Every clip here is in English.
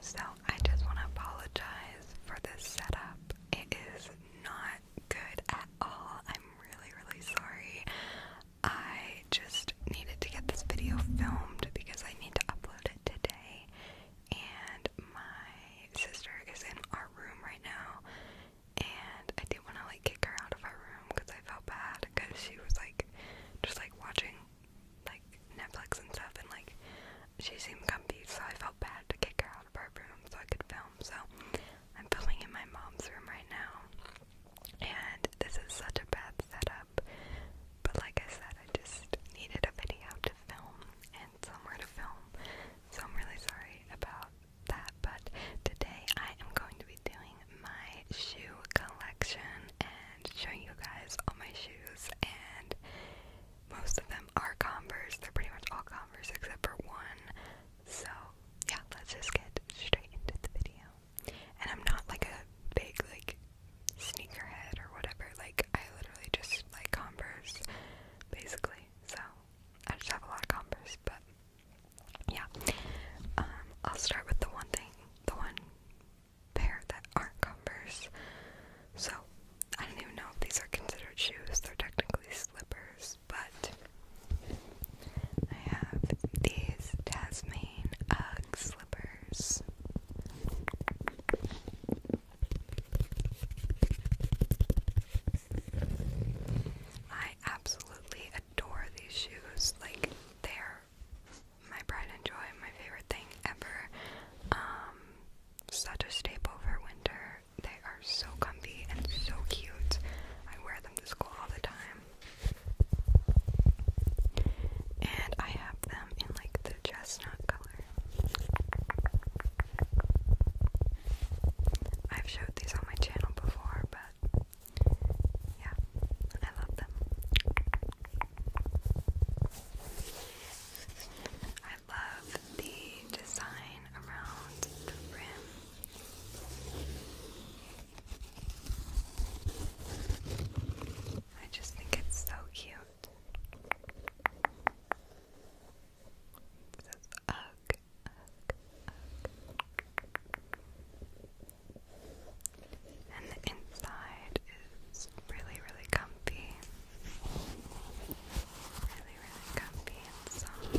So I just want to apologize for this setup. It is not good at all. I'm really, really sorry. I just needed to get this video filmed because I need to upload it today. And my sister is in our room right now. And I didn't want to like kick her out of our room because I felt bad because she was like just like watching like Netflix and stuff, and like she seemed comfy, so I felt bad to kick her out of her room so I could film. So I'm filming in my mom's room right now, and this is such a bad setup. But like I said, I just needed a video to film and somewhere to film, so I'm really sorry about that. But today I am going to be doing my shoe collection and showing you guys all my shoes and most of them are Converse. They're pretty much all Converse except for one. So yeah, let's just get straight into the video. And I'm not like a big like sneakerhead or whatever. Like I literally just like Converse basically. So I just have a lot of Converse, but yeah. Um, I'll start with the one thing, the one pair that aren't Converse. So I don't even know if these are considered shoes. They're technically slippers, but I have these Tasmanian Ugg slippers. I absolutely adore these shoes. Like they're my pride and joy, my favorite thing ever. Um, such a staple for winter. They are so comfy and so cute. I wear them to school all the time. And I have them in like the chestnut color. I've showed these on my channel before, but yeah, I love them. I love the design around the rim. I just think it's so cute. says ugh and the inside is really, really comfy. Really, really comfy and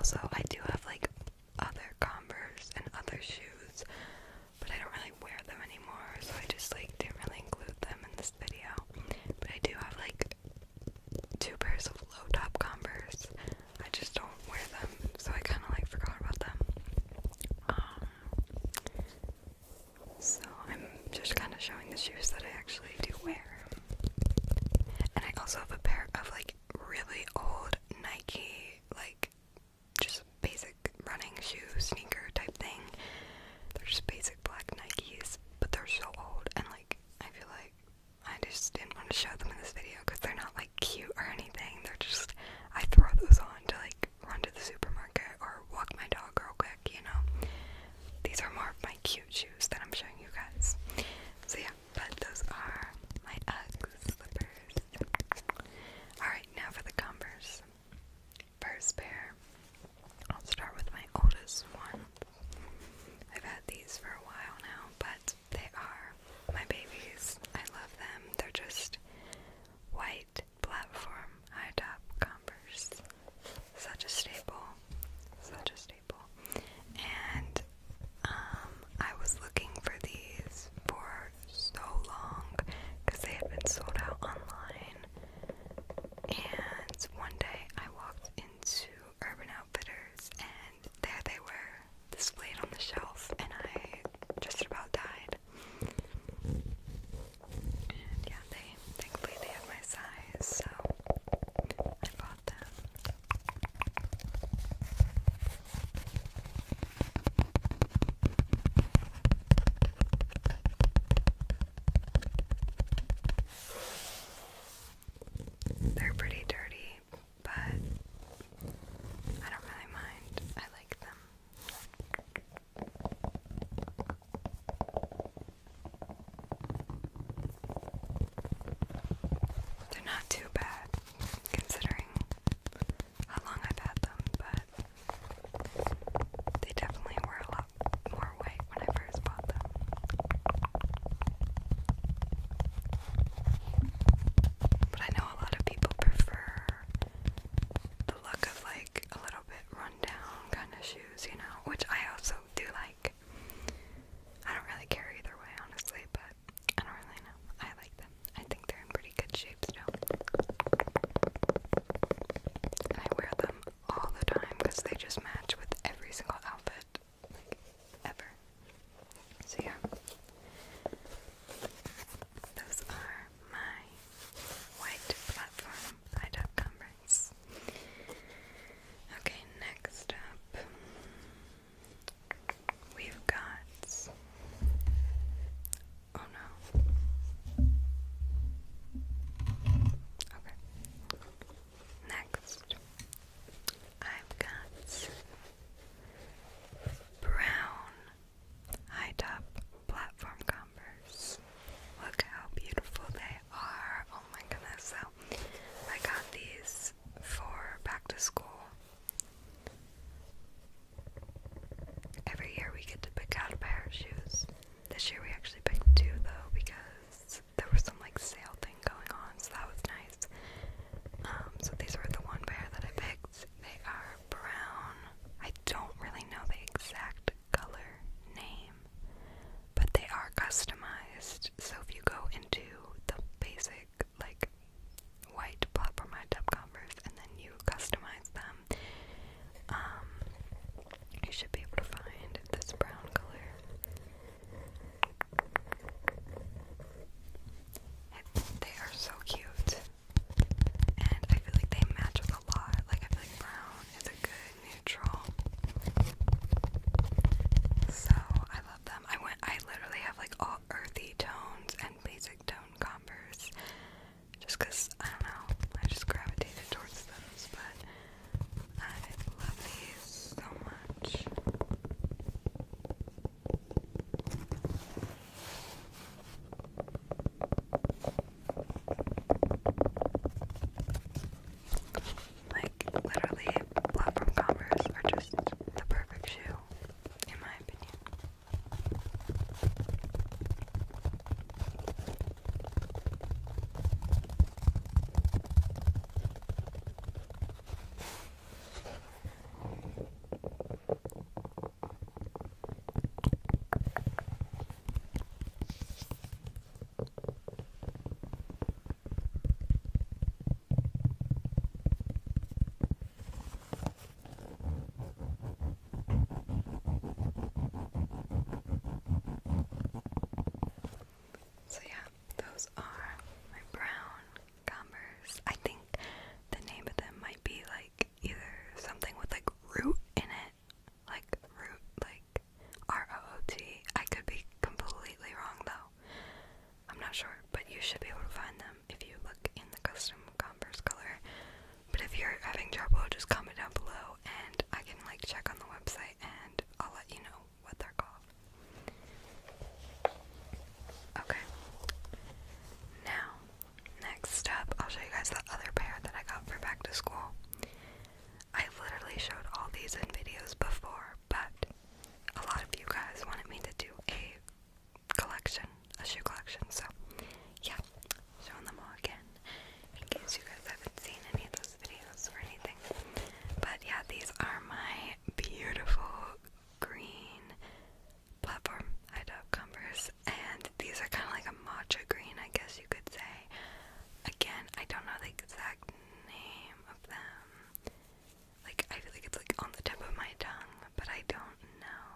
also, I do have like other Converse and other shoes, but I don't really wear them anymore, so I just like didn't really include them in this video. But I do have like two pairs of low top Converse. I just don't wear them, so I kind of like forgot about them. Um, so I'm just kind of showing the shoes that I actually do wear. And I also have a pair of like really old Nike, like just basic running shoe, sneaker type thing. They're just basic black Nikes, but they're so old and like I feel like I just didn't want to show them in this video because they're not like cute or anything. They're just I throw those on to like run to the supermarket or walk my dog real quick, you know. These are more of my cute shoes that I'm showing you guys. So yeah, but those are my Uggs slippers. Alright, now for the Converse. First pair. I'll start with my oldest one. I've had these for a while now, but they are my babies. I love them. They're just white platform high top Converse. Such a staple. Such a staple staple. And um, I was looking for these for so long because they had been sold out online. And one day I walked into Urban Outfitters and there they were displayed on the shelf, and I just about died. And yeah, they thankfully they had my size, so I bought them. They're pretty dirty, but I don't really mind. I like them. They're not too bad considering how long I've had them, but they definitely were a lot more white when I first bought them. But I know a lot of people prefer the look of like a little bit run down kind of shoes, you know, which I also do like. I don't really care either way, honestly, but I don't really know. I like them. I think they're in pretty good shape still. I wear them all the time because they just match with every single outfit, like ever. So yeah, those are my white platform high top converse. Okay, next up. We've got. Oh no. Okay. Next, I've got brown high top platform Converse. Look how beautiful they are. Oh my goodness. So, I got these for back to school Every year we get to pick out a pair of shoes. This year we actually picked two though because there was some like sale thing going on, so that was nice. Um, so these were the one pair that I picked. They are brown. I don't really know the exact color name, but they are customized. So if you go into the basic like white platform Converse, and then you customize them. Um, you should be able to find this brown color. they are so cute, and I feel like they match with a lot. Like I feel like brown is a good neutral. So I them. I went I literally have like all earthy tones and basic tone Converse just cuz I don't know. I just gravitated towards those, but I love these so much. Like literally platform Converse are just the perfect shoe in my opinion. So, yeah, those are my brown Converse. I think the name of them might be like either something with like root in it, like root, like R O O T. I could be completely wrong though. I'm not sure, but you should be able to find them if you look in the custom Converse color. But if you're having trouble, just comment down below and I can like check on the website and I'll let you know what they're called. Okay. Now, next up, I'll show you guys the other pair that I got for back to school. I literally showed all these in videos before, but a lot of you guys wanted me to do a collection, a shoe collection. So, yeah, showing them all again in case you guys haven't seen any of those videos or anything. But yeah, these are my beautiful green platform Ida Converse, and these are kind of like a matcha green, I guess you could say. Again, I don't know the exact name of them. Like, I feel like it's like on the tip of my tongue, but I don't know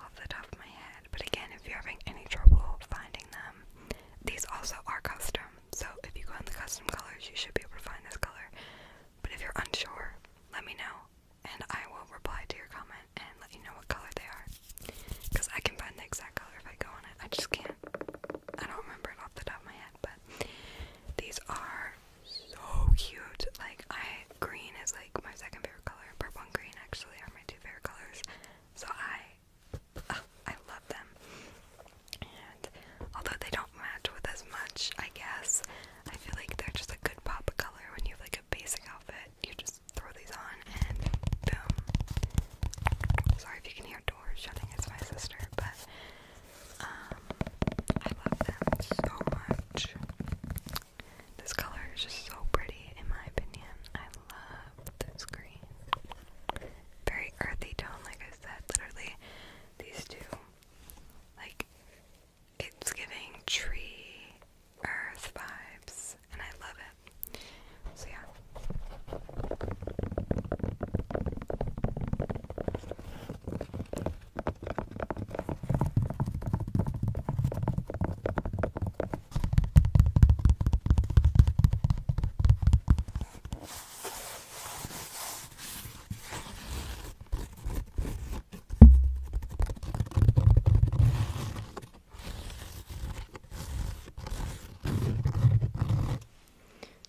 off the top of my head. But again, if you're having any trouble finding them, these also are custom. So if you go on the custom colors, you should be able to find this color. But if you're unsure, let me know and I will reply to your comment and let you know what color they are. Because I can find the exact color if I go on it. I just can't. I don't remember off the top of my head, but these are so cute. Like I green is like my second favorite color. Purple and green actually are my two favorite colors. So I uh, I love them. And although they don't match with as much, I guess, I feel like they're just a good pop of color when you have like a basic outfit. You just throw these on and boom. Sorry if you can hear doors shutting, it's my sister, but um, I love them so much. This color is just so pretty, in my opinion. I love this green. Very earthy tone, like I said. Literally, these two, like, it's giving tree, earth vibes, and I love it. So, yeah.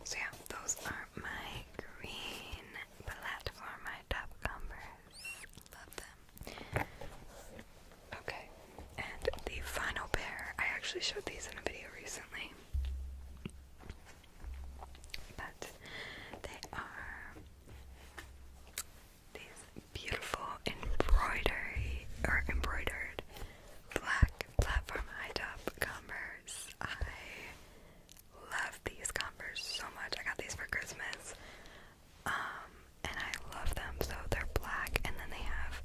So yeah, those are my green palette that my top combers. Love them. Okay, and the final pair. I actually showed these in a video recently. But they are these beautiful embroidery or embroidered black platform high top Converse. I love these Converse so much. I got these for Christmas. Um, and I love them. So they're black and then they have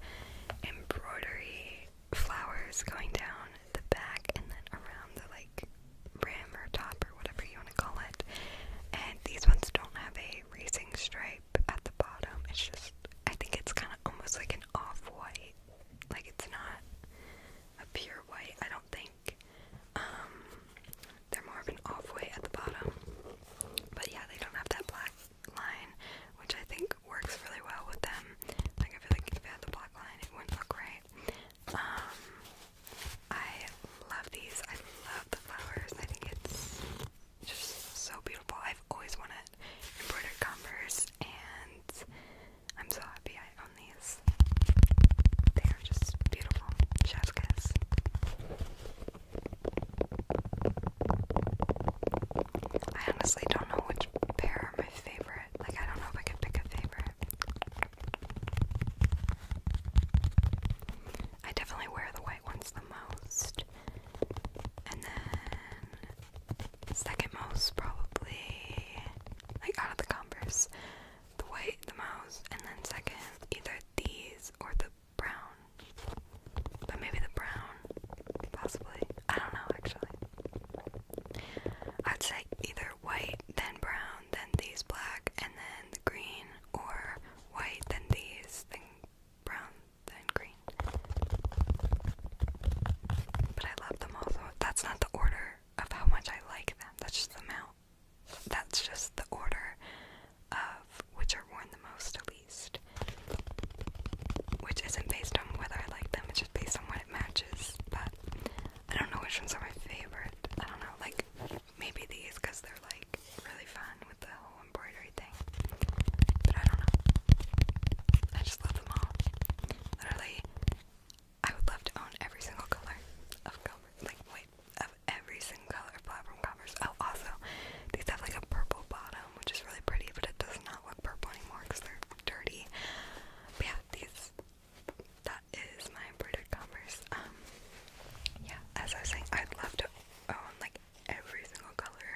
embroidery flowers going down the back and then around the like rim or top or whatever you want to call it. And these ones don't have a racing stripe at the bottom. It's just I think it's kind of almost like an off-white. Like it's not a pure white, I don't think. Um, they're more of an off white at the bottom, but yeah, they don't have that black line, which I think works really well with them. Like I feel like if they had the black line, it wouldn't look right. Um, I love these. I love the flowers. I think it's just so beautiful. I've always wanted embroidered Converse and I'm so happy I own these. They are just beautiful. Chef's I honestly don't know which pair are my favorite. Like, I don't know if I could pick a favorite. I definitely wear the white ones the most. And then, second most, probably, like out of the Converse, the white, the mouse, and then second, either these or the brown. But maybe the brown, possibly. I don't know actually. I'd say either white, then brown, then these black, and then the green, or white, then these, then brown, then green. But I love them all so That's not the order of how much I like them, that's just the amount that's just the order of which are worn the most, at least. Which isn't based on whether I like them, it's just based on what it matches. But I don't know which ones are my favorite. I don't know, like maybe these because they're like really fun with the whole embroidery thing. But I don't know. I just love them all. Literally, I would love to own every single color of cover, like wait, of every single color of platform covers. Oh, also, these have like a purple bottom, which is really pretty, but it does not look purple anymore because they're dirty. But yeah, these. That is my embroidered Converse. Um, yeah, as I was saying, I'd love to own like every single color.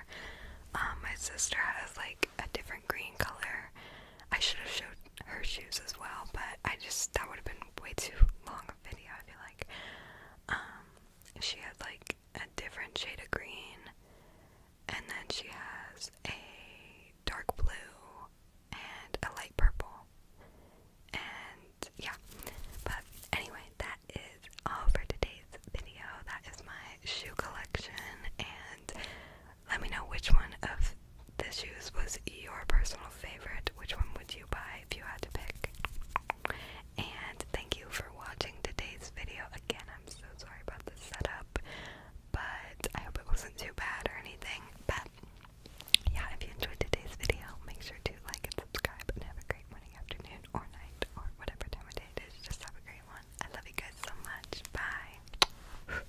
Um, my sister has like a different green color. I should have showed her shoes as well, but I just that would have been way too long a video. I feel like um, she had like a different shade of green, and then she has a dark blue and a light purple, and yeah. But anyway, that is all for today's video. That is my shoe collection, and let me know which one of this shoes was your personal favorite. Which one would you buy if you had to pick? And thank you for watching today's video. Again, I'm so sorry about the setup, but I hope it wasn't too bad or anything. But yeah, if you enjoyed today's video, make sure to like and subscribe and have a great morning, afternoon, or night, or whatever time of day it is. Just have a great one. I love you guys so much. Bye.